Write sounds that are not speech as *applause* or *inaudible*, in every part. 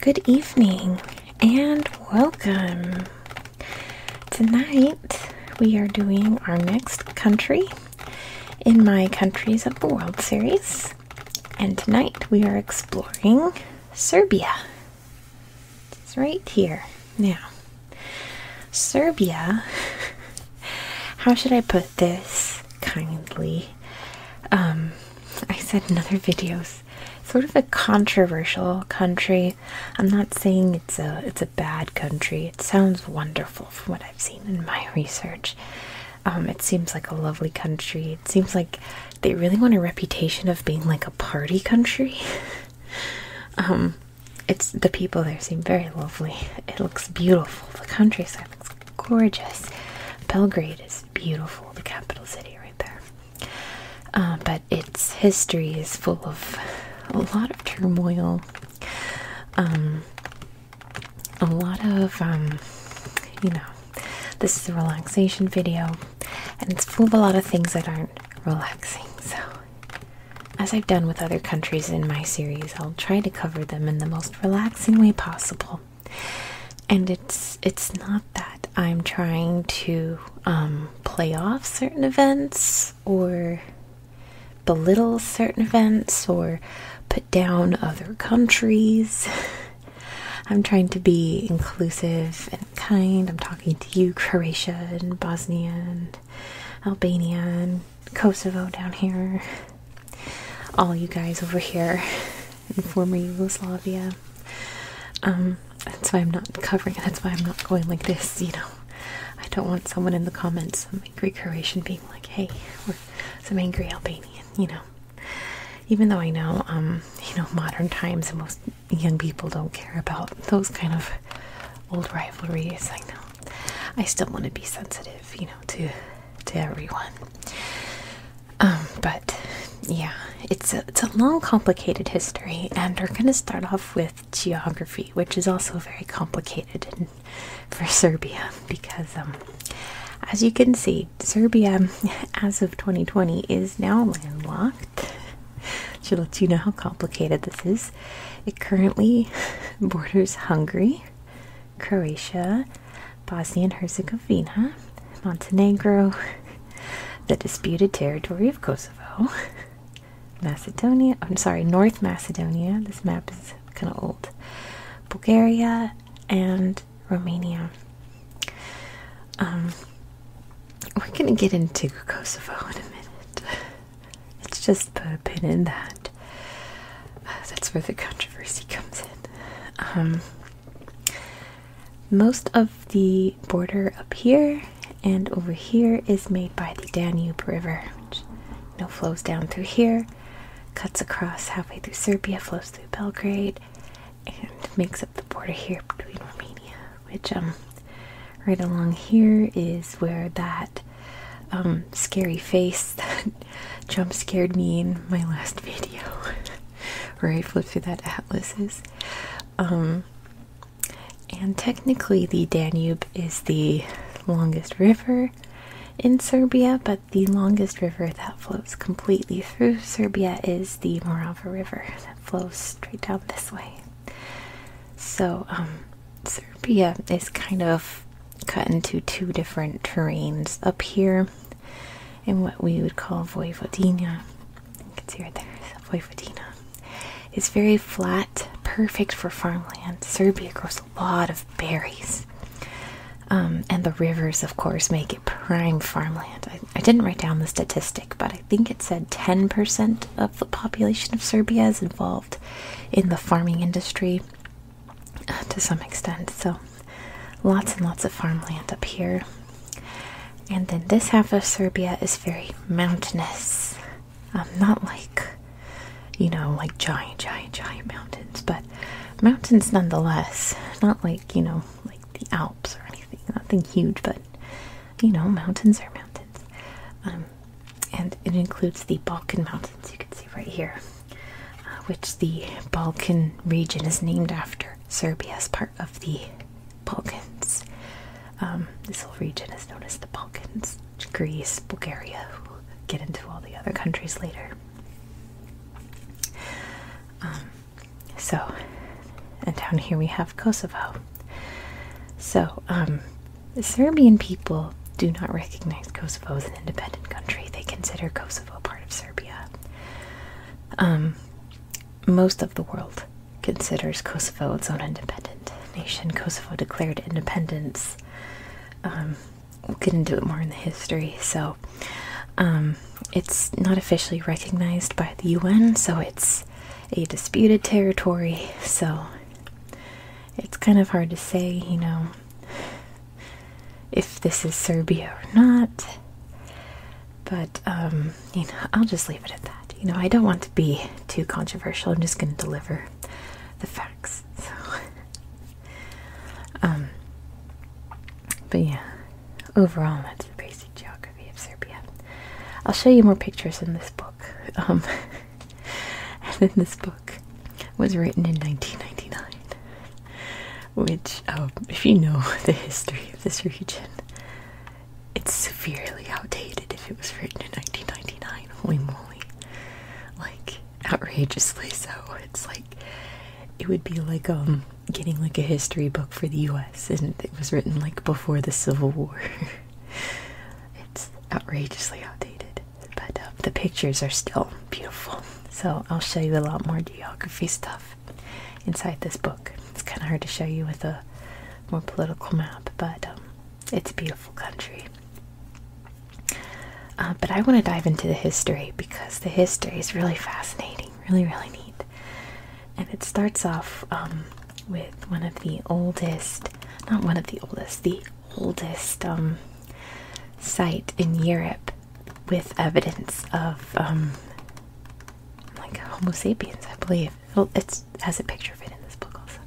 Good evening and welcome. Tonight we are doing our next country in my Countries of the World series, and tonight we are exploring Serbia. It's right here. Now, Serbia, how should I put this kindly? Um, I said in other videos, sort of a controversial country. I'm not saying it's a it's a bad country. It sounds wonderful from what I've seen in my *laughs* research. Um, it seems like a lovely country. It seems like they really want a reputation of being like a party country. *laughs* um, it's the people there seem very lovely. It looks beautiful. The countryside looks gorgeous. Belgrade is beautiful, the capital city right there. Uh, but its history is full of a lot of turmoil, um, a lot of, um, you know, this is a relaxation video, and it's full of a lot of things that aren't relaxing. So as I've done with other countries in my series, I'll try to cover them in the most relaxing way possible. And it's it's not that I'm trying to um, play off certain events or belittle certain events or put down other countries. *laughs* I'm trying to be inclusive and kind. I'm talking to you, Croatia and Bosnia and Albania Kosovo down here, all you guys over here in former Yugoslavia. Um, that's why I'm not covering it. That's why I'm not going like this, you know. I don't want someone in the comments, some angry Croatian being like, hey, or some angry Albanian, you know. Even though I know, um, you know, modern times and most young people don't care about those kind of old rivalries, I know. I still want to be sensitive, you know, to to everyone. Um, but yeah, it's a, it's a long, complicated history, and we're gonna start off with geography, which is also very complicated for Serbia because, um, as you can see, Serbia, *laughs* as of 2020, is now landlocked. Should *laughs* let you know how complicated this is. It currently *laughs* borders Hungary, Croatia, Bosnia and Herzegovina, Montenegro, *laughs* the disputed territory of Kosovo, *laughs* Macedonia, I'm sorry, North Macedonia, this map is kind of old, Bulgaria, and Romania. Um, we're gonna get into Kosovo in a minute. It's just put a pin in that. Uh, that's where the controversy comes in. Um, most of the border up here and over here is made by the Danube River, which you flows down through here, cuts across halfway through Serbia, flows through Belgrade, and makes up the border here between Romania, which um Right along here is where that um, scary face *laughs* that jump scared me in my last *laughs* video, Right, I flipped through that atlas is. Um, and technically, the Danube is the longest river in Serbia, but the longest river that flows completely through Serbia is the Morava River that flows straight down this way. So, um, Serbia is kind of cut into two different terrains up here in what we would call Vojvodina. You can see right there, Vojvodina. It's very flat, perfect for farmland. Serbia grows a lot of berries. Um, and the rivers, of course, make it prime farmland. I didn't write down the statistic, but I think it said 10% of the population of Serbia is involved in the farming industry uh, to some extent. So, lots and lots of farmland up here. And then this half of Serbia is very mountainous. Um, not like, you know, like giant, giant, giant mountains, but mountains nonetheless. Not like, you know, like the Alps or anything. Nothing huge, but, you know, mountains are mountains. Um, and it includes the Balkan Mountains, you can see right here, uh, which the Balkan region is named after. Serbia is part of the Balkans. Um, this whole region is known as the Balkans. Greece, Bulgaria, get into all the other countries later. Um, so, and down here we have Kosovo. So, um, the Serbian people do not recognize Kosovo as an independent country. They consider Kosovo part of Serbia. Um, most of the world considers Kosovo its own independent nation. Kosovo declared independence. Um, we'll get into it more in the history. So, um, it's not officially recognized by the UN, so it's a disputed territory. So, it's kind of hard to say, you know, if this is Serbia or not. But, um, you know, I'll just leave it at that. You know, I don't want to be too controversial. I'm just going to deliver the facts. So, *laughs* um, but yeah, overall, that's the basic geography of Serbia. I'll show you more pictures in this book. Um, *laughs* *laughs* and then this book was written in 1999 which um, if you know *laughs* the history of this region it's severely outdated if it was written in 1999 holy moly like outrageously so it's like it would be like um, getting like a history book for the US and it was written like before the Civil War *laughs* it's outrageously outdated, but um, the pictures are still beautiful. So I'll show you a lot more geography stuff inside this book. It's kind of hard to show you with a more political map, but um, it's a beautiful country. Uh, but I want to dive into the history because the history is really fascinating, really, really neat. And it starts off um, with one of the oldest, not one of the oldest, the oldest um, site in Europe with evidence of um, like Homo sapiens, I believe. It has a picture of it in this book also.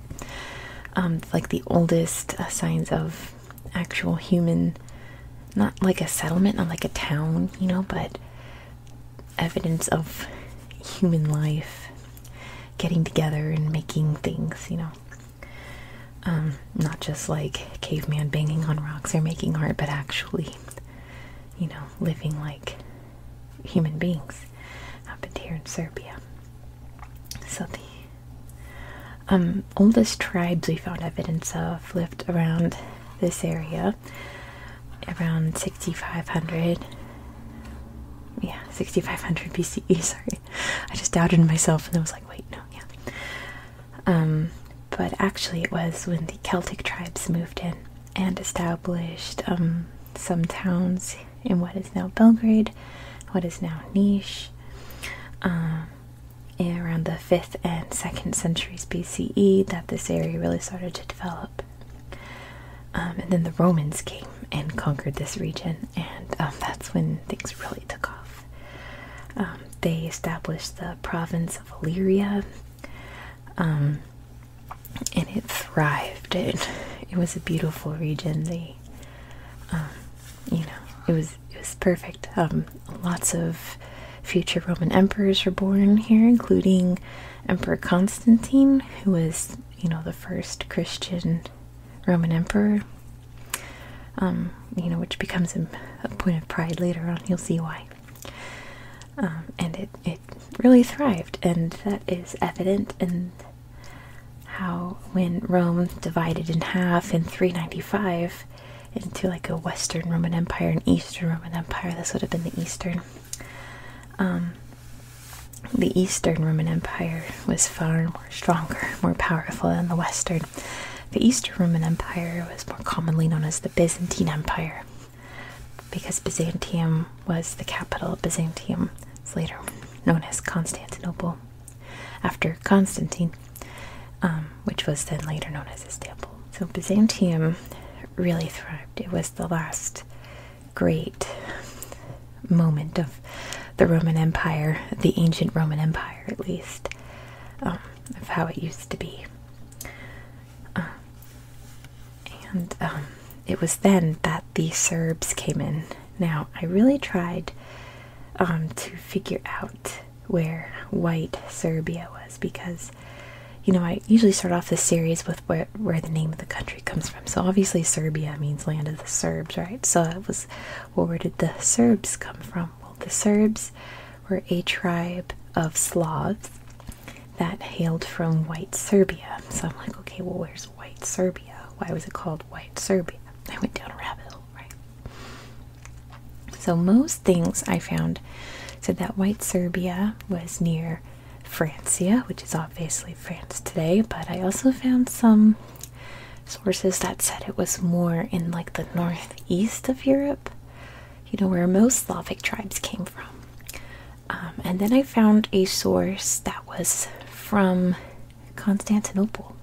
Um, like the oldest uh, signs of actual human, not like a settlement, not like a town, you know, but evidence of human life getting together and making things, you know. Um, not just like caveman banging on rocks or making art, but actually, you know, living like human beings I've been here in Serbia. So the um, oldest tribes we found evidence of lived around this area, around 6500. Yeah, 6500 BCE, *laughs* sorry. I just doubted myself and I was like, wait, no, yeah. Um, but actually, it was when the Celtic tribes moved in and established um, some towns in what is now Belgrade, what is now Niš, um, around the 5th and 2nd centuries BCE, that this area really started to develop. Um, and then the Romans came and conquered this region, and um, that's when things really took off. Um, they established the province of Illyria, and it thrived. It, *laughs* it was a beautiful region. They, you know, it was it was perfect. lots of future Roman emperors were born here, including Emperor Constantine, who was you know the first Christian Roman emperor, um, you know, which becomes a, point of pride later on. You'll see why. Um, and it, it really thrived, and that is evident in how when Rome divided in half in 395 into like a Western Roman Empire and Eastern Roman Empire, this would have been the Eastern. Um, the Eastern Roman Empire was far more stronger, more powerful than the Western. The Eastern Roman Empire was more commonly known as the Byzantine Empire because Byzantium was the capital of Byzantium. It's later known as Constantinople after Constantine, um, which was then later known as Istanbul. So Byzantium really thrived. It was the last great moment of the Roman Empire, the ancient Roman Empire at least, um, of how it used to be. Um, and um, it was then that the Serbs came in. Now, I really tried to figure out where white Serbia was because, you know, I usually start off the series with where the name of the country comes from. So obviously Serbia means land of the Serbs, right? So it was, well, where did the Serbs come from? Well, the Serbs were a tribe of Slavs that hailed from White Serbia. So I'm like, okay, well, where's White Serbia? Why was it called White Serbia? I went down a rabbit hole, right? So most things I found said that White Serbia was near Francia, which is obviously France today, but I also found some sources that said it was more in like the northeast of Europe, you know, where most Slavic tribes came from. Um, and then I found a source that was from Constantinople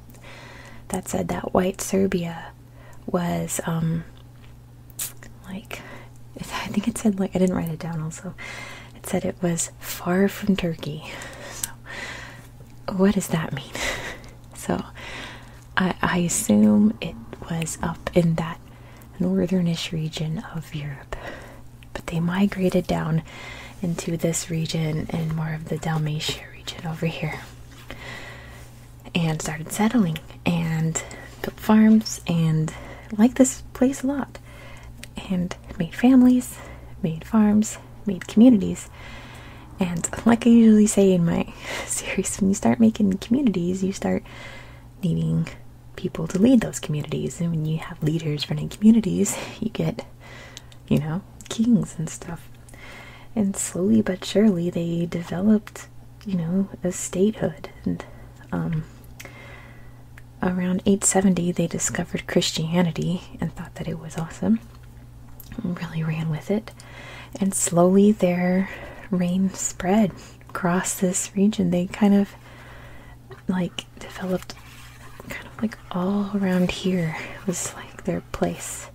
that said that white Serbia was um, like, *laughs* I think it said, like, I didn't write it down also. It said it was far from Turkey. So, what does that mean? *laughs* So, I, assume it was up in that northernish region of Europe, but they migrated down into this region and more of the Dalmatia region over here and started settling and built farms and liked this place a lot and made families, made farms, made communities. And like I usually say in my *laughs* series, when you start making communities, you start needing people to lead those communities. And when you have leaders running communities, *laughs* you get, you know, kings and stuff. And slowly but surely, they developed, you know, a statehood and um, around 870 they discovered Christianity and thought that it was awesome. Really ran with it. And slowly their reign spread across this region. They kind of like developed kind of like all around here was like their place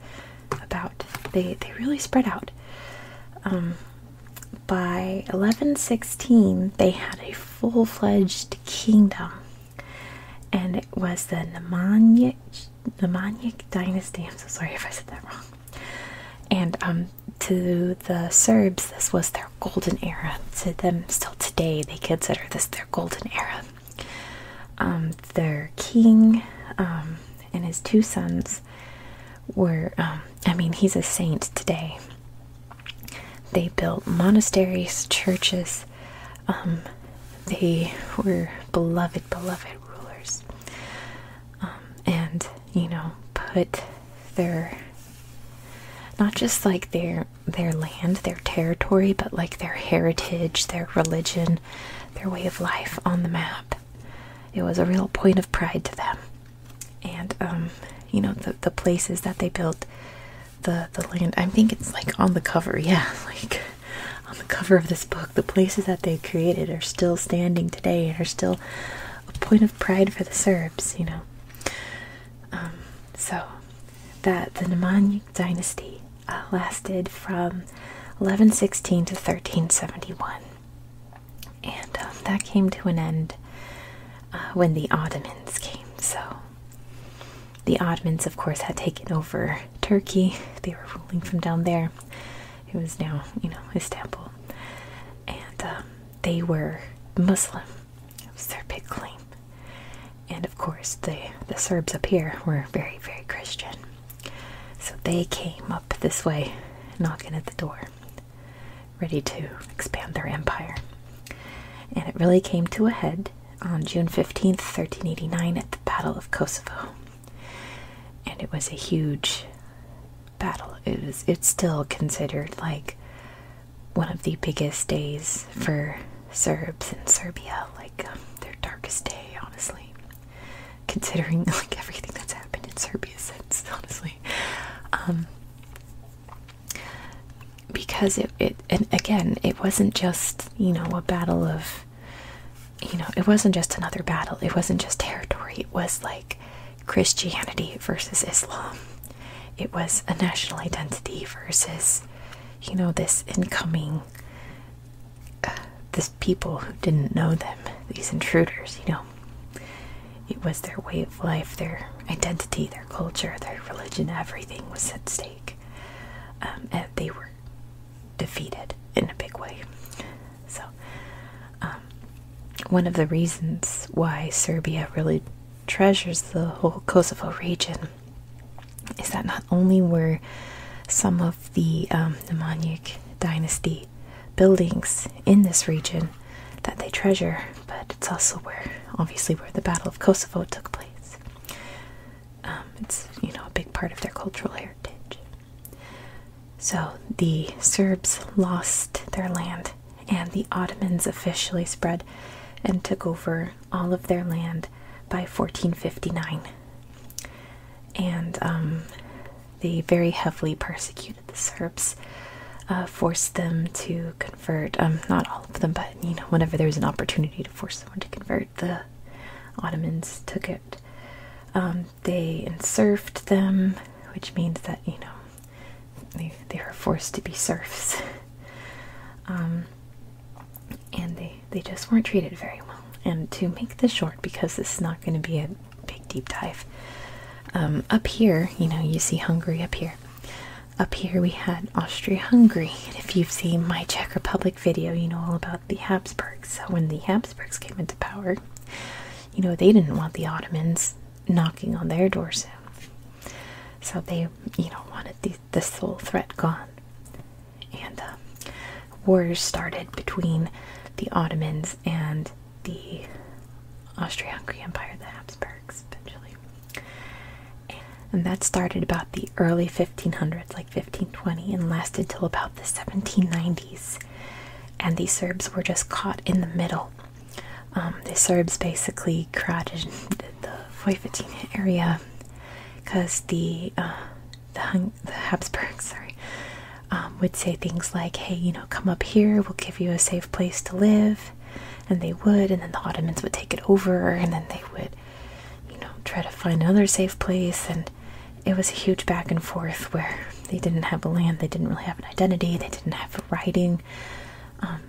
about. They they really spread out. Um by 1116 they had a full-fledged kingdom and it was the Nemanjic dynasty. I'm so sorry if I said that wrong. And um, to the Serbs, this was their golden era. To them, still today, they consider this their golden era. Um, their king um, and his two sons were, I mean, he's a saint today. They built monasteries, churches. Um, they were beloved, beloved rulers, um, and you know, put their not just like their their land, their territory, but like their heritage, their religion, their way of life on the map. It was a real point of pride to them, and um, you know, the the places that they built the the land. I think it's like on the cover. Yeah, *laughs* like on the cover of this book. The places that they created are still standing today and are still a point of pride for the Serbs. You know. Um, so that the Nemanjić dynasty uh, lasted from 1116 to 1371. And um, that came to an end uh, when the Ottomans came. So the Ottomans, of course, had taken over Turkey. They were ruling from down there. It was now, you know, Istanbul. And um, they were Muslim. It was their big claim. And of course, the, the Serbs up here were very, very Christian. So they came up this way, knocking at the door, ready to expand their empire. And it really came to a head on June 15th, 1389, at the Battle of Kosovo. And it was a huge battle. It was it's still considered like one of the biggest days for Serbs in Serbia, like um, their darkest day, honestly. Considering *laughs* like everything that's happened in Serbia since, honestly. Um, because it, it and again it wasn't just you know a battle of you know it wasn't just another battle it wasn't just territory it was like christianity versus islam it was a national identity versus you know this incoming uh, this people who didn't know them these intruders you know it was their way of life their identity their culture their religion everything was at stake um, and they were defeated in a big way. So, um, one of the reasons why Serbia really treasures the whole Kosovo region is that not only were some of the um, dynasty buildings in this region that they treasure, but it's also where, obviously, where the Battle of Kosovo took place. Um, it's you know a big part of their cultural heritage. So the Serbs lost their land, and the Ottomans officially spread and took over all of their land by 1459. And um, they very heavily persecuted the Serbs, uh, forced them to convert um, not all of them but you know whenever there was an opportunity to force someone to convert the ottomans took it um they enserfed them which means that you know they, they were forced to be serfs *laughs* um, and they they just weren't treated very well and to make this short because this is not going to be a big deep dive um, up here you know you see hungary up here up here we had Austria-Hungary, if you've seen my Czech Republic video, you know all about the Habsburgs. So when the Habsburgs came into power, you know they didn't want the Ottomans knocking on their door So they, you know, wanted this whole threat gone, and uh, wars started between the Ottomans and the Austria-Hungary Empire, the Habsburgs, eventually. And that started about the early 1500s, like 1520, and lasted till about the 1790s. And the Serbs were just caught in the middle. Um, the Serbs basically crowded the Vojvodina area because the, uh, the, Habsburgs *laughs* sorry, um, would say things like, hey, you know, come up here, we'll give you a safe place to live. And they would, and then the Ottomans would take it over, and then they would you know, try to find another safe place. And it was a huge back and forth where they didn't have a land, they didn't really have an identity, they didn't have writing. Um,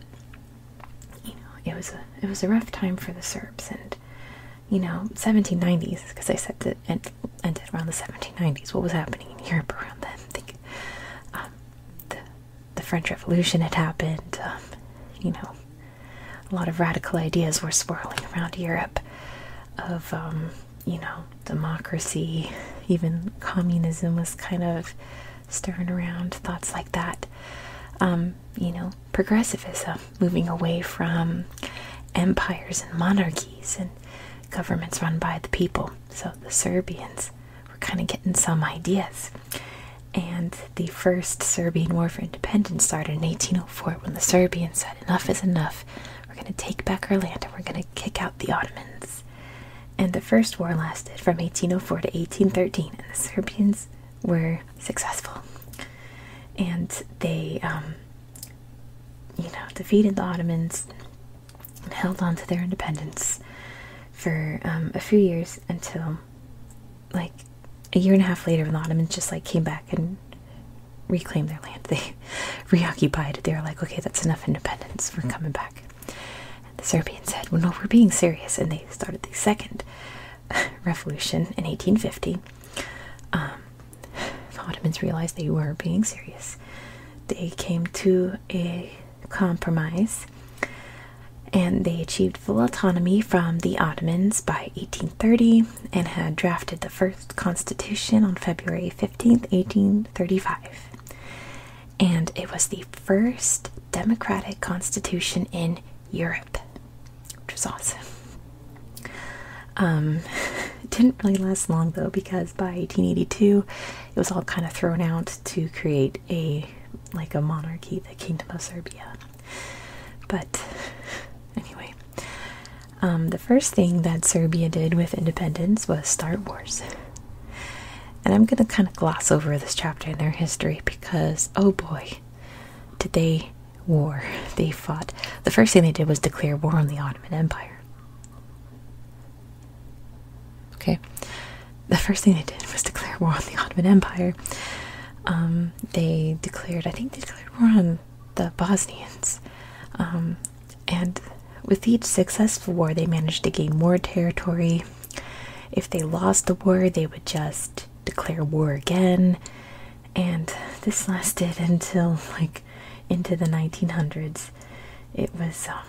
you know, it was a it was a rough time for the Serbs, and you know, 1790s because I said that it ended around the 1790s. What was happening in Europe around then? think um, the the French Revolution had happened. Um, you know, a lot of radical ideas were swirling around Europe of, um, you know, democracy, even communism was kind of stirring around thoughts like that. Um, you know, progressivism, moving away from empires and monarchies and governments run by the people. So the Serbians were kind of getting some ideas and the first Serbian War for Independence started in 1804 when the Serbians said, Enough is enough. We're going to take back our land and we're going to kick out the Ottomans. And the first war lasted from 1804 to 1813, and the Serbians were successful. And they, um, you know, defeated the Ottomans and held on to their independence for um, a few years until like a year and a half later, the Ottomans just like came back and reclaimed their land. *laughs* They reoccupied it. They were like, okay, that's enough independence. We're coming back. the Serbians said, well, no, we're being serious. And they started the second *laughs* revolution in 1850. Um, the Ottomans realized they were being serious. They came to a compromise and they achieved full autonomy from the Ottomans by 1830 and had drafted the first constitution on February 15, 1835. And it was the first democratic constitution in Europe, which was awesome. Um, *laughs* didn't really last long though, because by 1882, it was all kind of thrown out to create a like a monarchy, the Kingdom of Serbia. But anyway, um, the first thing that Serbia did with independence was start wars. And I'm going to kind of gloss over this chapter in their history because, oh boy, did they war. They fought. The first thing they did was declare war on the Ottoman Empire. Okay the first thing they did was declare war on the Ottoman Empire. Um, they declared, I think they declared war on the Bosnians. Um, and with each successful war, they managed to gain more territory. If they lost the war, they would just declare war again. And this lasted until like into the 1900s. It was um,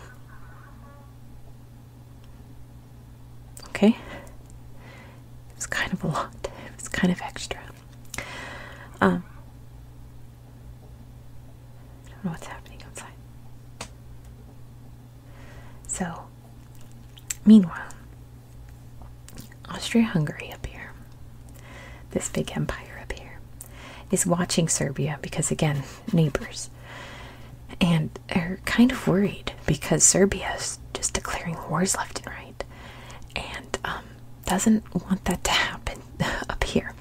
Okay? it's kind of a lot. It's kind of extra. Um, I don't know what's happening outside. So, meanwhile, Austria Hungary up here, this big empire up here, is watching Serbia because, again, neighbors and are kind of worried because Serbia is just declaring wars left and right and um, doesn't want that to *laughs* happen *laughs* up here.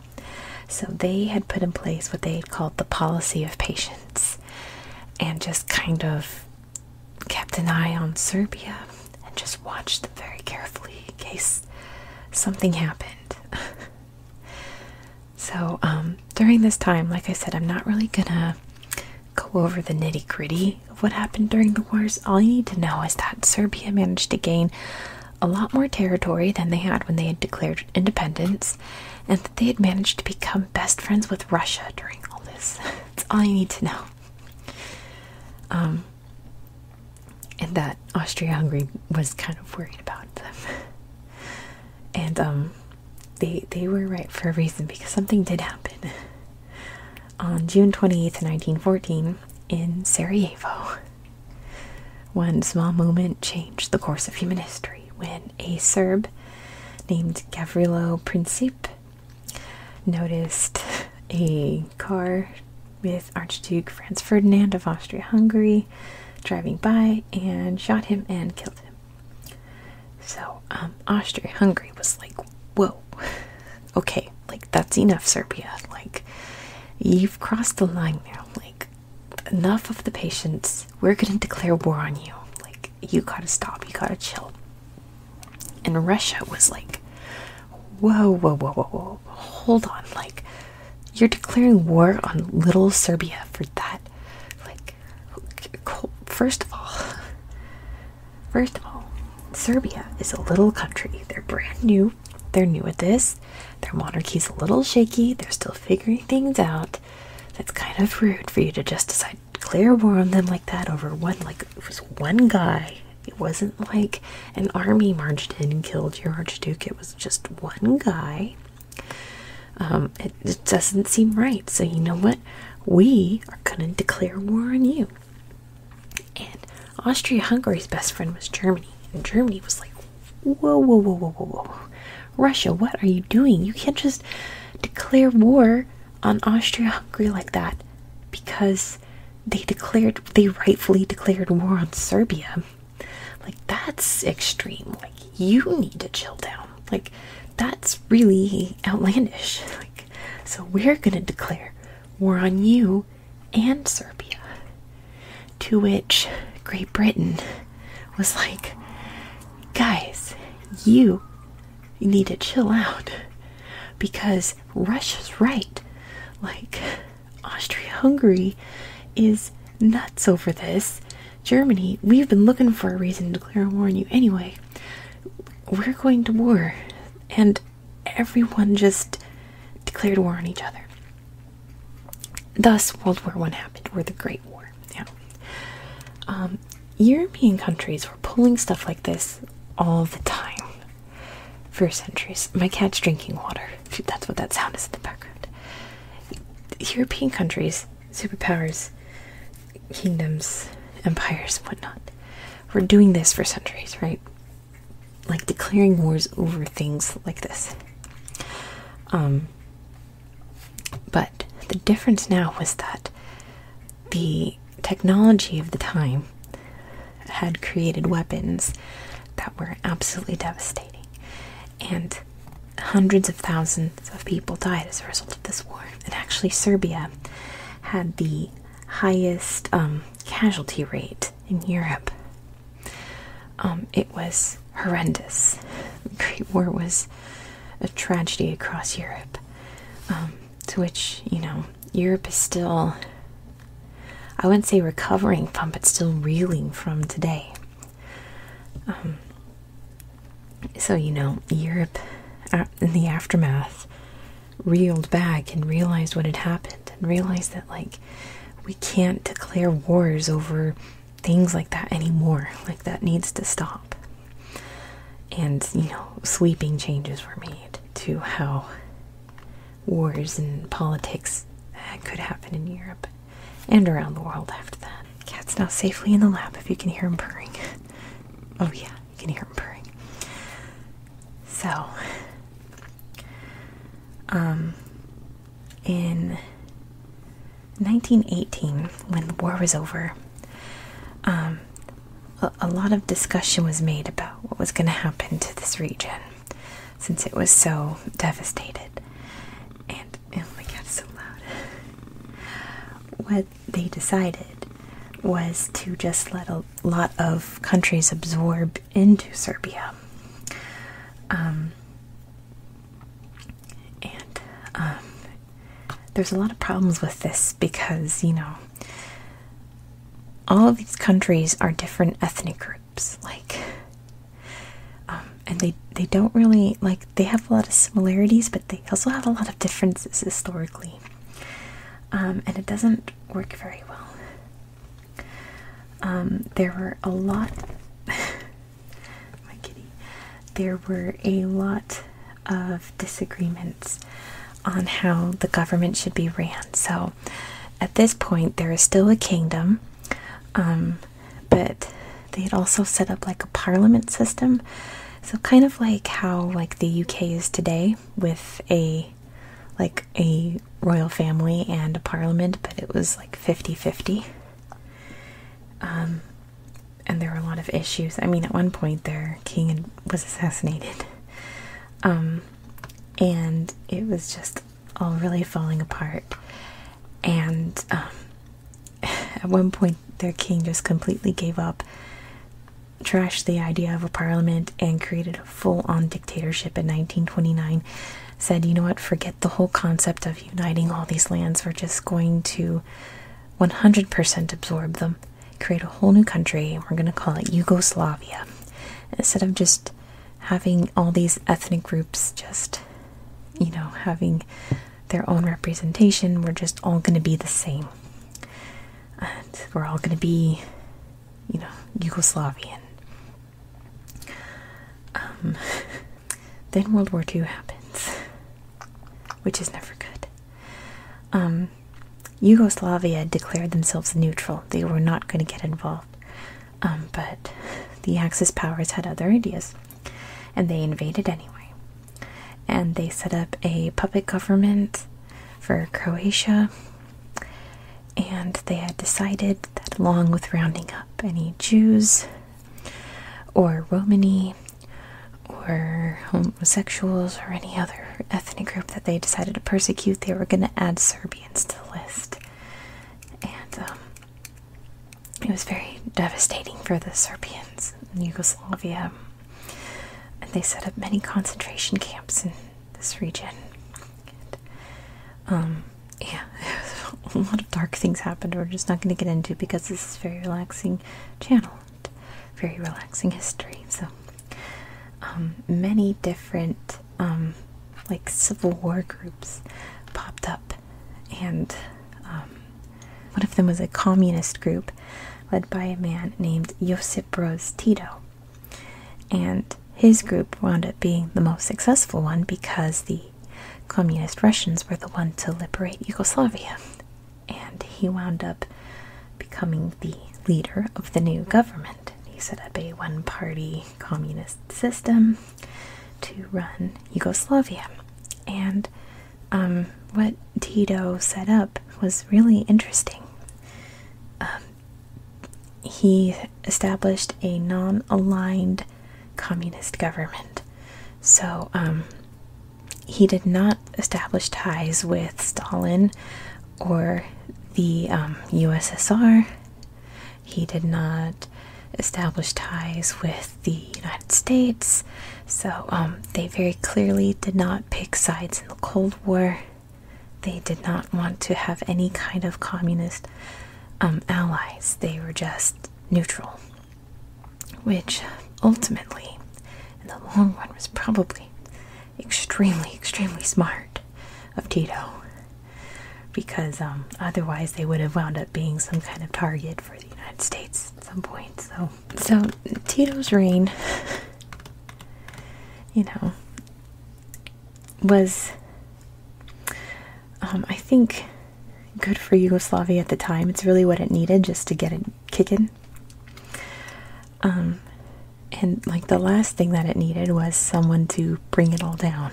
So they had put in place what they called the policy of patience and just kind of kept an eye on Serbia and just watched them very carefully in case something happened. *laughs* so um, during this time, like I said, I'm not really gonna go over the nitty gritty of what happened during the wars, all you need to know is that Serbia managed to gain a lot more territory than they had when they had declared independence, and that they had managed to become best friends with Russia during all this. *laughs* That's all you need to know. Um, and that Austria-Hungary was kind of worried about them. *laughs* And um, they they were right for a reason because something did happen. On June 28th, 1914, in Sarajevo, one small moment changed the course of human history when a Serb named Gavrilo Princip noticed a car with Archduke Franz Ferdinand of Austria Hungary driving by and shot him and killed him. So, um, Austria-Hungary was like, whoa, *laughs* okay, like, that's enough, Serbia, like, you've crossed the line now, like, enough of the patience, we're gonna declare war on you, like, you gotta stop, you gotta chill. And Russia was like, whoa, whoa, whoa, whoa, whoa, hold on, like, you're declaring war on little Serbia for that like, first of all, first of all, Serbia is a little country. They're brand new. They're new at this. Their monarchy's a little shaky. They're still figuring things out. That's kind of rude for you to just decide clear war on them like that over one, like, it was one guy. It wasn't like an army marched in and killed your Archduke. It was just one guy. Um, it, it doesn't seem right. So, you know what? We are going to declare war on you. And Austria Hungary's best friend was Germany. And Germany was like, whoa, whoa, whoa, whoa, whoa, whoa. Russia, what are you doing? You can't just declare war on Austria Hungary like that because they declared, they rightfully declared war on Serbia. Like, that's extreme. Like, you need to chill down. Like, that's really outlandish. *laughs* Like, so we're gonna declare war on you and Serbia. To which Great Britain was like, guys, you need to chill out because Russia's right. Like, Austria Hungary is nuts over this Germany, we've been looking for a reason to declare war on you anyway. We're going to war. And everyone just declared war on each other. Thus, World War One happened, or the Great War. Yeah. Um, European countries were pulling stuff like this all the time for centuries. My cat's drinking water. That's what that sound is in the background. European countries superpowers, kingdoms, empires, whatnot. We're doing this for centuries, right? Like declaring wars over things like this. Um, but the difference now was that the technology of the time had created weapons that were absolutely devastating, and hundreds of thousands thousands of people died as a result of this war. And actually, Serbia had the highest um, casualty rate in Europe. Um, it was horrendous. The Great War was a tragedy across Europe, um, to which, you know, Europe is still, I wouldn't say recovering from, but still reeling from today. So, you know, Europe uh, in the aftermath reeled back and realized what had happened and realized that, like, we can't declare wars over things like that anymore. Like, that needs to stop. And, you know, sweeping changes were made to how wars and politics could happen in Europe and around the world after that. Cat's now safely in the lap if you can hear him purring. *laughs* oh, yeah, you can hear him purring. So, um, in 1918, when the war was over, um, a, lot of discussion was made about what was going to happen to this region since it was so devastated. And oh my god, so loud. What they decided was to just let a lot of countries absorb into Serbia. Um, and um, there's a lot of problems with this because, you know, all of these countries are different ethnic groups, like, um, and they they don't really like they have a lot of similarities, but they also have a lot of differences historically, um, and it doesn't work very well. Um, there were a lot. *laughs* my kitty. There were a lot of disagreements on how the government should be ran. So, at this point, there is still a kingdom, um, but they had also set up like a parliament system so kind of like how like the uk is today with a like a royal family and a parliament but it was like 50-50 um, and there were a lot of issues i mean at one point their king was assassinated um, and it was just all really falling apart and um, *laughs* At one point, their king just completely gave up, trashed the idea of a parliament, and created a full on dictatorship in 1929. Said, you know what, forget the whole concept of uniting all these lands, we're just going to 100% absorb them, create a whole new country, we're going to call it Yugoslavia. Instead of just having all these ethnic groups just, you know, having their own representation. We're just all going to be the same. we're all going to be, you know, Yugoslavian. Um, *laughs* then World War II happens, which is never good. Um, Yugoslavia declared themselves neutral. They were not going to get involved. Um, but the Axis powers had other ideas and they invaded anyway. And they set up a puppet government for Croatia, and they had decided that, along with rounding up any Jews or Romani or homosexuals or any other ethnic group that they decided to persecute, they were going to add Serbians to the list. And um, it was very devastating for the Serbians in Yugoslavia and they set up many concentration camps in this region. um, yeah, *laughs* a lot of dark things happened. We're just not going to get into because this is very relaxing channel, very relaxing history. So, um, many different um, like Civil War groups popped up, and um, one of them was a communist group led by a man named Josip Broz Tito. And his group wound up being the most successful one because the communist Russians were the one to liberate Yugoslavia. And he wound up becoming the leader of the new government. He set up a one party communist system to run Yugoslavia. And um, what Tito set up was really interesting. Um, he established a non aligned communist government. So um, he did not establish ties with Stalin or the USSR. He did not establish ties with the United States. So um, they very clearly did not pick sides in the Cold War. They did not want to have any kind of communist um, allies. They were just neutral, which ultimately, in the long run, was probably extremely, extremely smart of Tito. Because um, otherwise, they would have wound up being some kind of target for the United States at some point. So so Tito's reign, you know, was um, I think good for Yugoslavia at the time. It's really what it needed just to get it kicking. Um, and like the last thing that it needed was someone to bring it all down.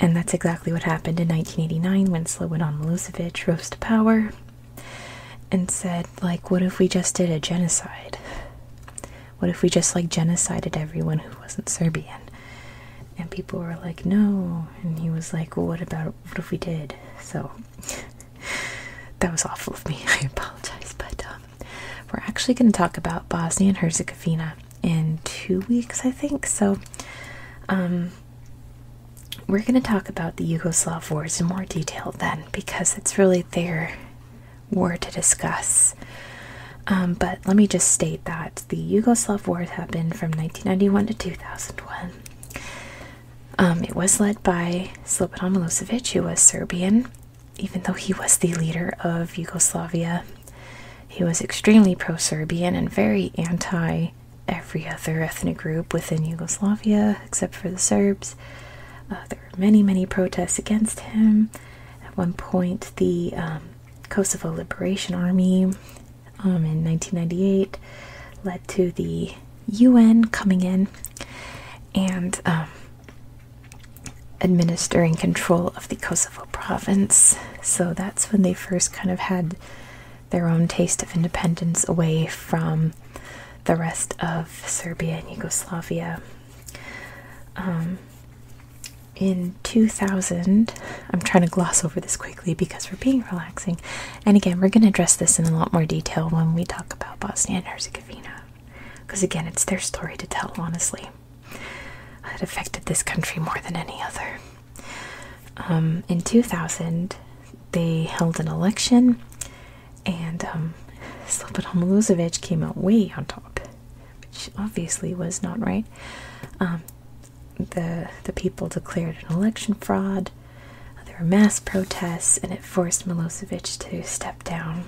And that's exactly what happened in 1989 when Slobodan Milosevic rose to power and said like what if we just did a genocide what if we just like genocided everyone who wasn't serbian and people were like no and he was like what about what if we did so *laughs* that was awful of me *laughs* i apologize but um, we're actually going to talk about bosnia and herzegovina in two weeks i think so um we're going to talk about the Yugoslav wars in more detail then, because it's really their war to discuss. Um, but let me just state that the Yugoslav wars happened from 1991 to 2001. Um, it was led by Slobodan Milosevic, who was Serbian, even though he was the leader of Yugoslavia. He was extremely pro Serbian and very anti every other ethnic group within Yugoslavia except for the Serbs. Uh, there were many, many protests against him. At one point, the um, Kosovo Liberation Army um, in 1998 led to the UN coming in and um, administering control of the Kosovo province. So that's when they first kind of had their own taste of independence away from the rest of Serbia and Yugoslavia. Um, in 2000, I'm trying to gloss over this quickly because we're being relaxing, and again, we're going to address this in a lot more detail when we talk about Bosnia and Herzegovina because, again, it's their story to tell, honestly. It affected this country more than any other. Um, in 2000, they held an election, and um, Slobodan Milosevic came out way on top, which obviously was not right. Um, the The people declared an election fraud. There were mass protests, and it forced Milosevic to step down.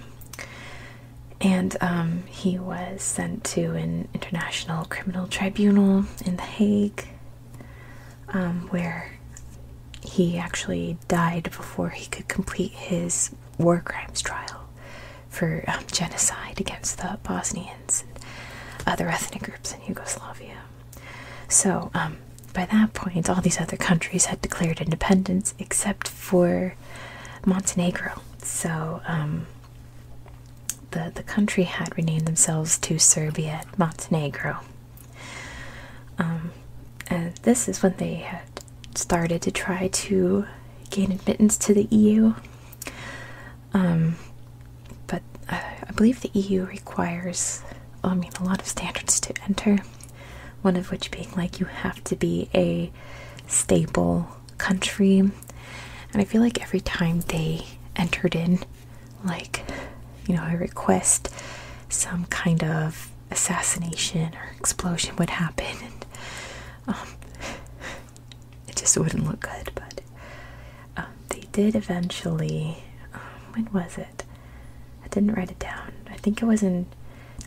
And um, he was sent to an international criminal tribunal in The Hague um, where he actually died before he could complete his war crimes trial for um, genocide against the Bosnians and other ethnic groups in Yugoslavia. So, um, by that point, all these other countries had declared independence except for Montenegro. So, the, the country had renamed themselves to Serbia and Montenegro. Um, and this is when they had started to try to gain admittance to the EU. Um, but uh, I believe the EU requires, I mean, a lot of standards to enter. One of which being like you have to be a stable country. And I feel like every time they entered in, like, you know, I request some kind of assassination or explosion would happen, and um, it just wouldn't look good. But um, they did eventually. Um, when was it? I didn't write it down. I think it was in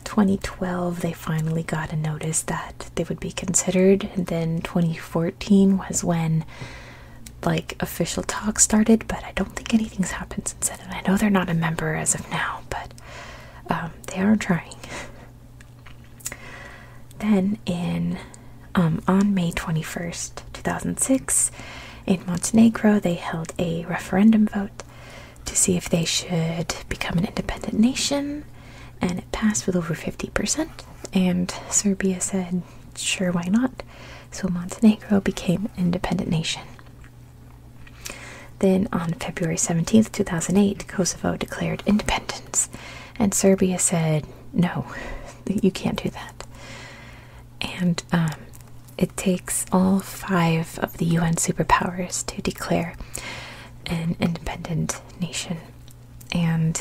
2012 they finally got a notice that they would be considered, and then 2014 was when like official talks started, but I don't think anything's happened since then. And I know they're not a member as of now, but um, they are trying. then in um, on May 21st, 2006, in Montenegro, they held a referendum vote to see if they should become an independent nation, and it passed with over 50%. And Serbia said, sure, why not? so Montenegro became an independent nation. Then, on February 17, 2008, Kosovo declared independence, and Serbia said, No, you can't do that. And um, it takes all five of the UN superpowers to declare an independent nation. And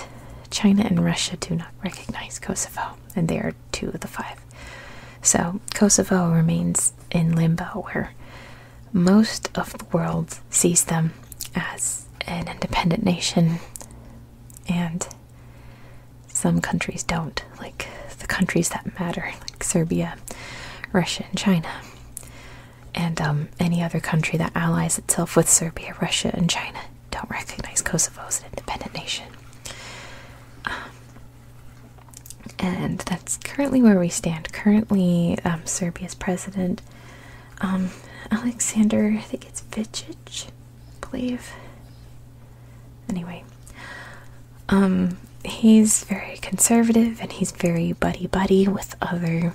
China and Russia do not recognize Kosovo, and they are two of the five. So, Kosovo remains in limbo, where most of the world sees them as an independent nation, and some countries don't, like the countries that matter, like Serbia, Russia, and China, and um, any other country that allies itself with Serbia, Russia, and China don't recognize Kosovo as an independent nation. Um, and that's currently where we stand. Currently, um, Serbia's president, um, Alexander, I think it's Vicic, believe. Anyway, he's very conservative and he's very buddy buddy with other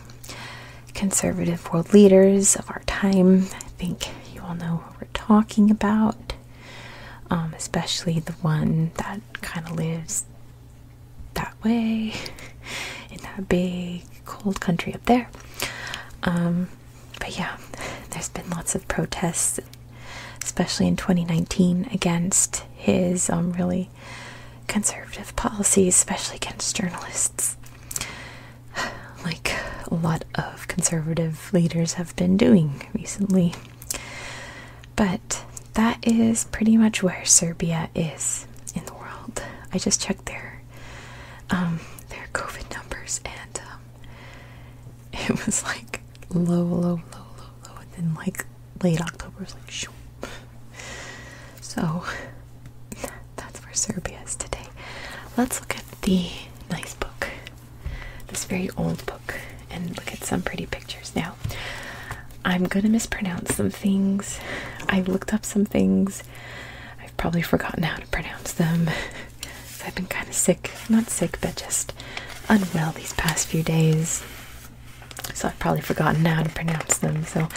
conservative world leaders of our time. I think you all know what we're talking about. Um, especially the one that kind of lives that way *laughs* in that big cold country up there. Um, but yeah, there's been lots of protests, especially in 2019, against his um, really conservative policies, especially against journalists. *sighs* *sighs* like a lot of conservative leaders have been doing recently. But that is pretty much where Serbia is in the world. I just checked their um, their COVID numbers, and um, *laughs* it was like low, low, low, low, low, and then like late October was like shoo. So *laughs* that's where Serbia is today. Let's look at the nice book this very old book and look at some pretty pictures. Now, I'm gonna mispronounce some things. I looked up some things. I've probably forgotten how to pronounce them. *laughs* I've been kind of sick. Not sick, but just unwell these past few days. So I've probably forgotten how to pronounce them. So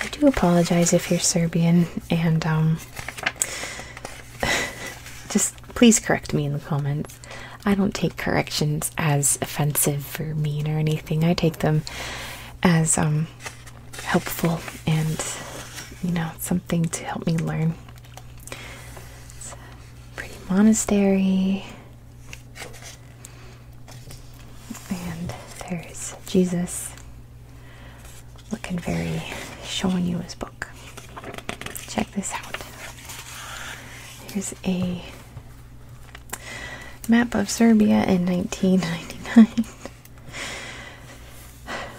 I do apologize if you're Serbian and um, *laughs* just please correct me in the comments. I don't take corrections as offensive or mean or anything. I take them as um, helpful and you know something to help me learn. It's a pretty monastery. And there's Jesus looking very showing you his book. Check this out. Here's a map of Serbia in 1999.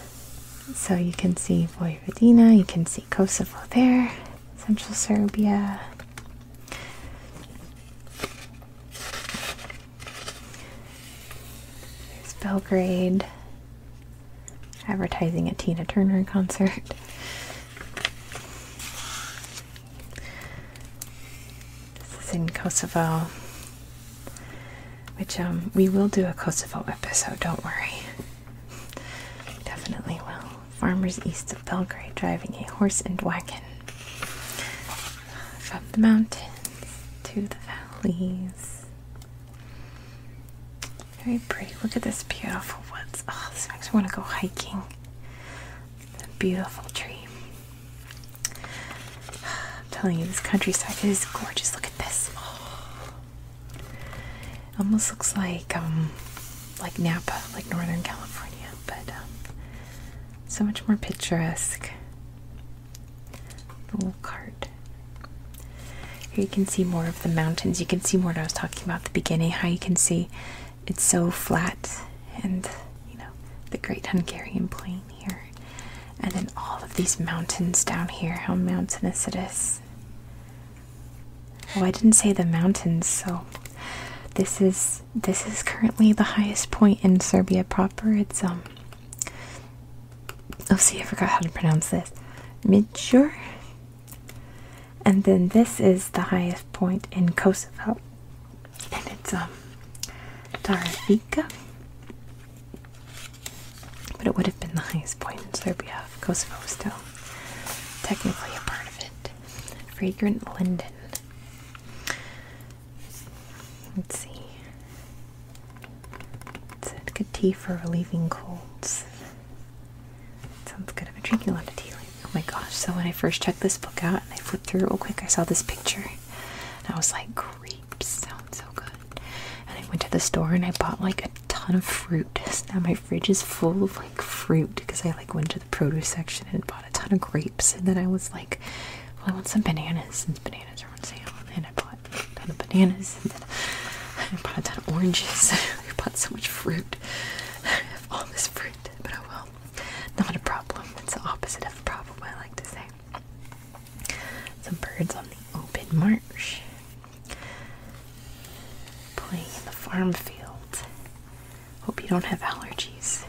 *laughs* so you can see Vojvodina, you can see Kosovo there, central Serbia. There's Belgrade, advertising a Tina Turner concert. This is in Kosovo, which um, we will do a Kosovo episode, don't worry. Definitely will. Farmers east of Belgrade driving a horse and wagon from the mountains to the valleys. Very pretty. Look at this beautiful woods. Oh, this makes me want to go hiking. a beautiful tree. I'm telling you, this countryside is gorgeous. Look at this. Oh. Almost looks like um, like Napa, like Northern California, but um, so much more picturesque. The little cart. Here you can see more of the mountains. You can see more what I was talking about the beginning, how you can see it's so flat and you know the great Hungarian plain here. And then all of these mountains down here, how mountainous it is. Oh, I didn't say the mountains, so this is this is currently the highest point in Serbia proper. It's um Oh, see, I forgot how to pronounce this. Midsure. And then this is the highest point in Kosovo. And it's um Tarifika. But it would have been the highest point in Serbia. Kosovo still technically a part of it. Fragrant linden. Let's see. It's a good tea for relieving colds. Sounds good. I've been drinking a lot of tea Oh my gosh. So when I first checked this book out and I flipped through real quick, I saw this picture. And I was like, grapes sound so good. And I went to the store and I bought like a ton of fruit. *laughs* now my fridge is full of like fruit because I like went to the produce section and bought a ton of grapes. And then I was like, I want some bananas since bananas are on sale. And I bought a ton of bananas, I bought a ton of oranges. *laughs* I bought so much fruit. I have all this fruit, but I oh will Not a problem. It's the opposite of a problem, I like to say. Some birds on the open marsh. Playing in the farm field. Hope you don't have allergies.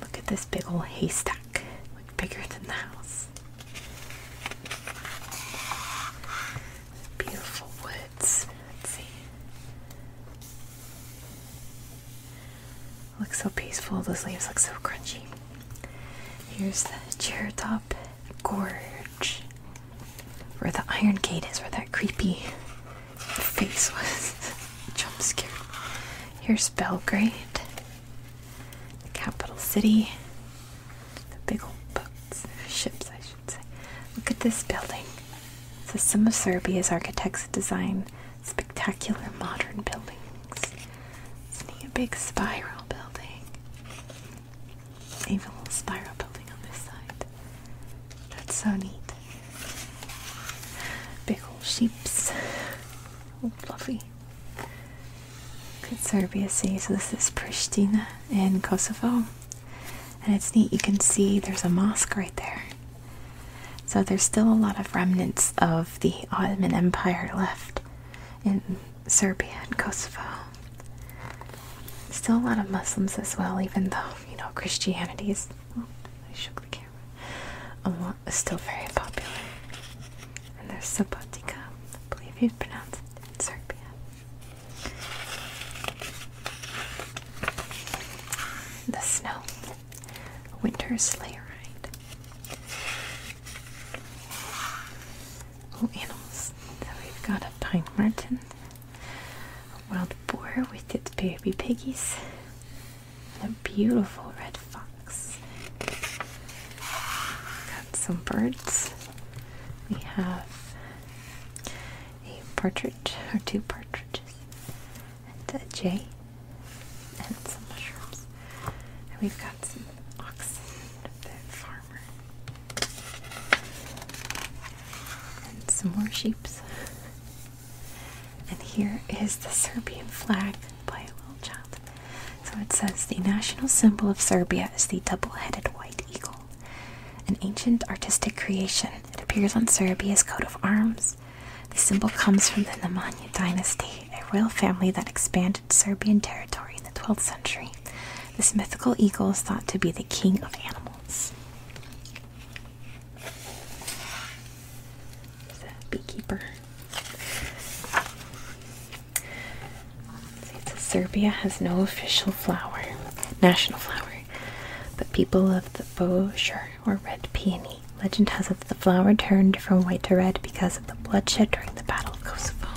look at this big old haystack. Look bigger than the house. Beautiful woods. Let's see. Looks so peaceful. Those leaves look so crunchy. Here's the chair top Gorge. Where the iron gate is, where that creepy face was. *laughs* Jump scared. Here's Belgrade, capital city. Big old boats, ships, I should say. Look at this building. This is of Serbia's architects design spectacular modern buildings. Isn't he a big spiral building. Even a little spiral building on this side. That's so neat. Big old ships. All fluffy. Could Serbia So this is Pristina in Kosovo. And it's neat, you can see there's a mosque right there. So there's still a lot of remnants of the Ottoman Empire left in Serbia and Kosovo. Still a lot of Muslims as well, even though, you know, Christianity is oh, still very popular. And there's Subotica, I believe you'd pronounce it in Serbian. The snow. Winter sleigh ride. Oh, animals. We've got a pine marten, a wild boar with its baby piggies, and a beautiful red fox. Got some birds. We have a partridge, or two partridges, and a jay, and some mushrooms. And we've got some oxen of farmer. And some more sheep. And here is the Serbian flag by a little child. So it says the national symbol of Serbia is the double-headed white eagle, an ancient artistic creation. It appears on Serbia's coat of arms. The symbol comes from the Nemanja dynasty, a royal family that expanded Serbian territory in the 12th century. This mythical eagle is thought to be the king of animals. There's beekeeper. Serbia has no official flower, national flower, but people love the Bossier or red peony. Legend has it that the flower turned from white to red because of the bloodshed during the Battle of Kosovo.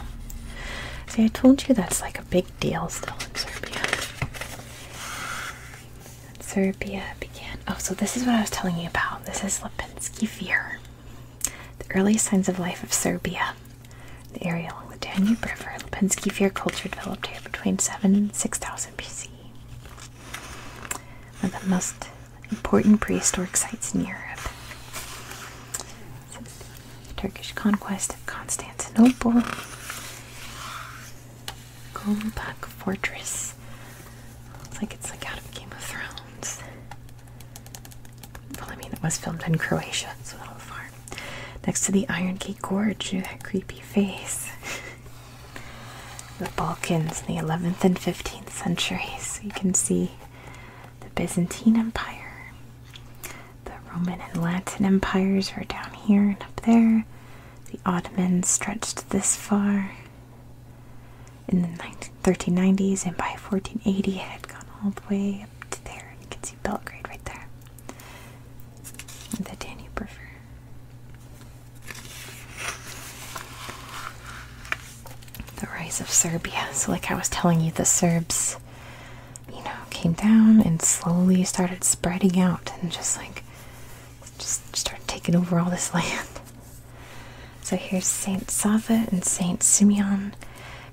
See, I told you that's like a big deal still in Serbia. Serbia began. Oh, so this is what I was telling you about. This is Lipinski Fear. The earliest signs of life of Serbia. The area along the Danube River, Lipinski fear culture developed here between 7 and 6000 BC. One of the most important prehistoric sites in Europe. Turkish conquest of Constantinople. Golpak Fortress. Looks like it's like out of Game of Thrones. Well, I mean, it was filmed in Croatia, so not far. Next to the Iron Gate Gorge, you know, that creepy face. the Balkans in the 11th and 15th centuries. You can see the Byzantine Empire. The Roman and Latin empires are down here and up there. The Ottomans stretched this far. In the 1390s and by 1480, it had gone all the way up to there. You can Belgrade right there. The Danube River. The rise of Serbia. So, like I was telling you, the Serbs, you know, came down and slowly started spreading out and just like, just started taking over all this *laughs* land. So, here's Saint Sava and Saint Simeon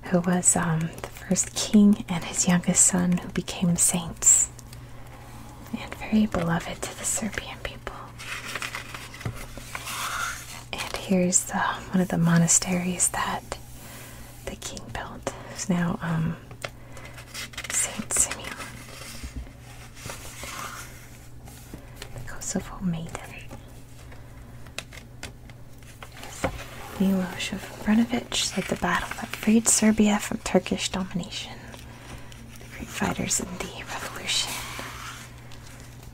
who was um, the first king, and his youngest son, who became saints and very beloved to the Serbian people. And here's one of the monasteries that the king built. It's now um, Saint Simeon. The Kosovo Maiden. Miloš Obrenović led the battle that freed Serbia from Turkish domination. The great fighters in the revolution.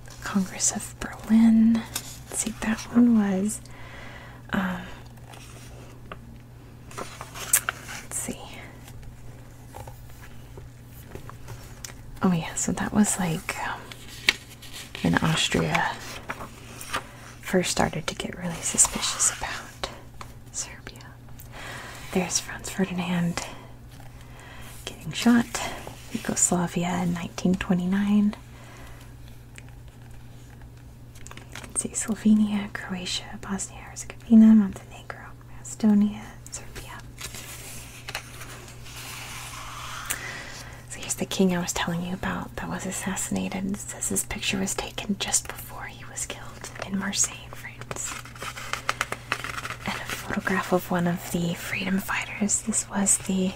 The Congress of Berlin. Let's see, that one was. Um, let's see. Oh, yeah, so that was like. Um, in Austria first started to get really suspicious about Serbia. There's Franz Ferdinand getting shot, Yugoslavia in 1929. You See Slovenia, Croatia, Bosnia Herzegovina, Montenegro, Estonia, Serbia. So here's the king I was telling you about that was assassinated. It says his picture was taken just before he was killed in Marseille, France. And a photograph of one of the freedom fighters. This was the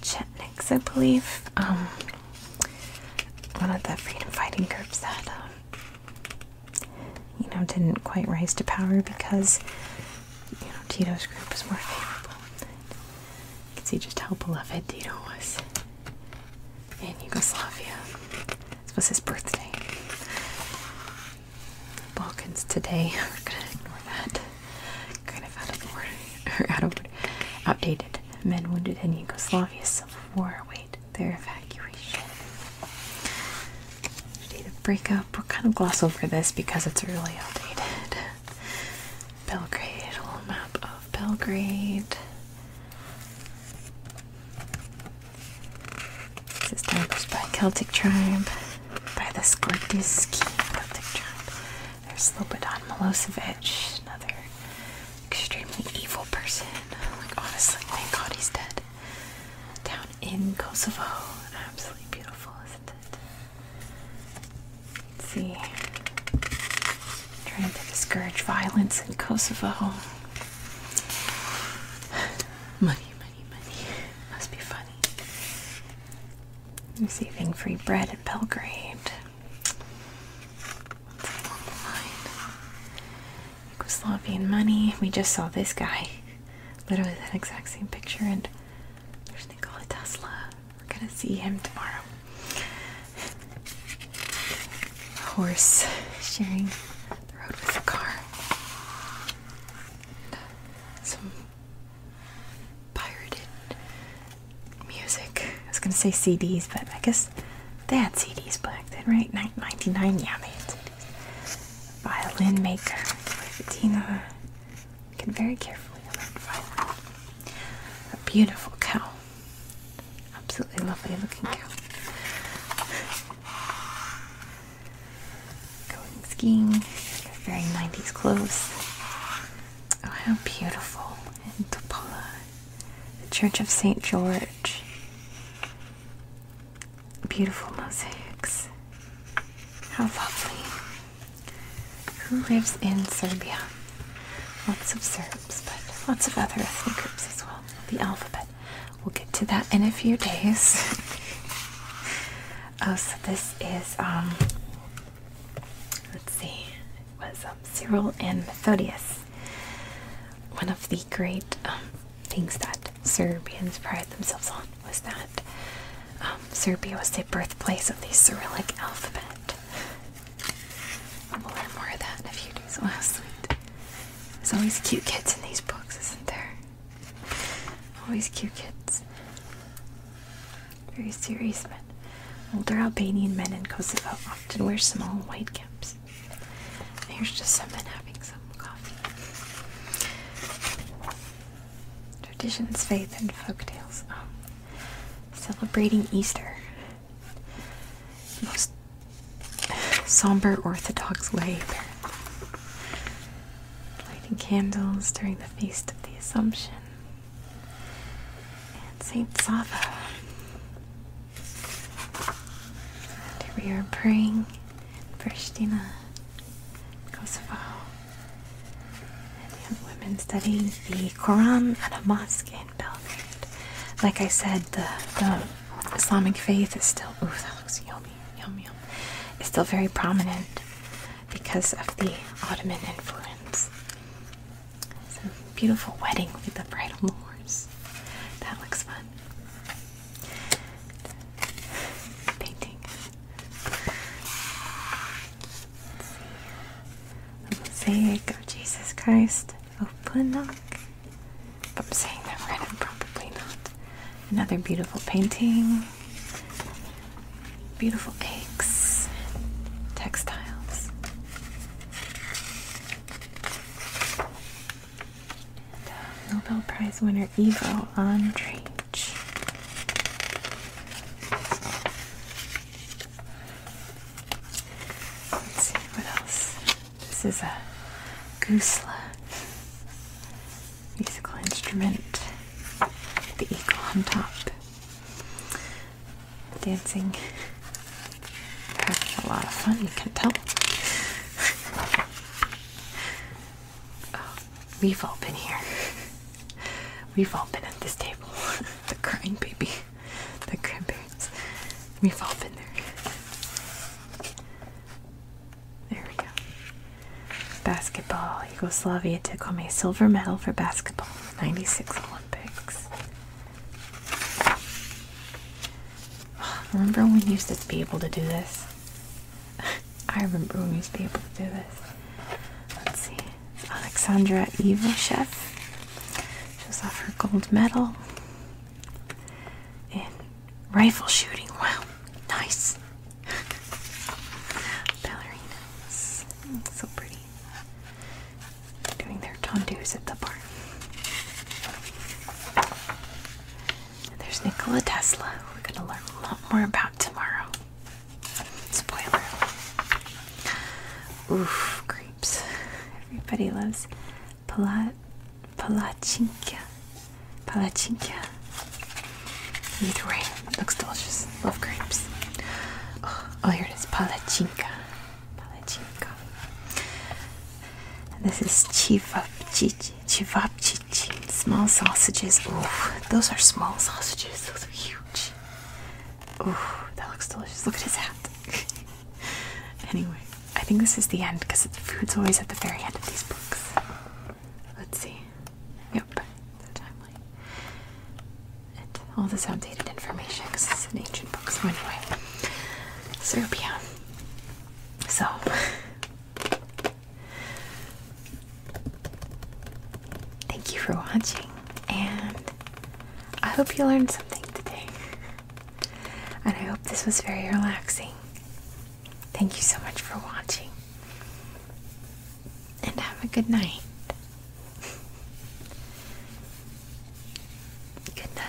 Chetniks, I believe. Um, one of the freedom fighting groups that, um, you know, didn't quite rise to power because, you know, Tito's group was more favorable. You can see just how beloved Dino was in Yugoslavia. This was his birthday. Balkans today. *laughs* We're gonna ignore that. Kind of out of order, or out of outdated. Men wounded in Yugoslavia's civil war await their evacuation. Date of breakup. we are kind of gloss over this because it's really outdated. Belgrade, little map of Belgrade. It's established by Celtic tribe, by the Skordiski Celtic tribe. There's Slobodan Milosevic, another extremely evil person. Like honestly, thank God he's dead. Down in Kosovo, absolutely beautiful, isn't it? Let's see. Trying to discourage violence in Kosovo. *laughs* Money, money, money. Must be funny. Receiving free bread in Belgrade. Yugoslavian money. We just saw this guy. *laughs* Literally that exact same picture and there's Nikola Tesla. We're gonna see him tomorrow. horse sharing the road with a car. Some pirated music. I was gonna say CDs, but I guess they had CDs back then, right? ninety-nine, yeah, they had Violin Maker by can very carefully alert Violet. A beautiful cow. Absolutely lovely looking cow. Going skiing. very 90s clothes. Oh, how beautiful. In Topola. The Church of St. George. Beautiful mosaics. How lovely who lives in Serbia? Lots of Serbs, but lots of other ethnic groups as well. The alphabet. We'll get to that in a few days. *laughs* oh, so this is um. Let's see. was um, Cyril and Methodius. One of the great um, things that Serbians pride themselves on was that um, Serbia was the birthplace of the Cyrillic alphabet. We'll learn more of that in a few days. Oh, how There's always cute kids in these books, isn't there? Always cute kids. Very serious men. Older Albanian men in Kosovo often wear small white caps. And here's just some men having some coffee. Traditions, faith, and folk tales. Um, celebrating Easter. Most somber Orthodox way, Lighting candles during the Feast of the Assumption. And Saint Sava. we are praying, Pristina, Kosovo. And we have women studying the Quran at a mosque in Belgrade. Like I said, the, Islamic faith is still, ooh, that looks yummy, yum, yum, is still very prominent because of the Ottoman influence. Some beautiful wedding with the bridal moors. That looks fun. Painting. Mosaic of Jesus Christ. Open up. I'm saying that right, I'm probably not. Another beautiful painting. Beautiful eggs. Textiles. And, uh, Nobel Prize winner Ivo Andrej. Let's see what else. This is a goosla musical instrument. The eagle on top. Dancing. having a lot of fun, you can tell. *laughs* Oh, we've all been here. We've all been at this table. *laughs* the crying baby. The grandparents. We've all been there. There we go. Basketball. Yugoslavia took home a silver medal for basketball. 96 Olympics. *sighs* Remember when we used to be able to do this? *laughs* I remember when we used to be able to do this. Let's see. Alexandra Ivoshev. Shows off her gold medal in rifle shooting. Wow, nice. *laughs* Ballerinas. So pretty. Doing their tondus at the bar. there's Nikola Tesla, we're going to learn a lot more about tomorrow. Spoiler. Oof, grapes. Everybody loves pala palachinka. Palachinka. Either way, looks delicious. Love grapes. Oh, here it is. Palachinka. Palachinka. This is chivapchichi. Chivapchichi. Small sausages. Ooh, those are small sausages. Those are huge. Oh, that looks delicious. Look at his hat. *laughs* anyway, I think this is the end because the food's always at the very end of these books. Let's see. Yep, so timely. And all this outdated information because it's an ancient book. So anyway, Serbia. So. Thank you for watching, and I hope you learned something today. and I hope this was very relaxing. Thank you so much for watching, and have a good night. *laughs* good night.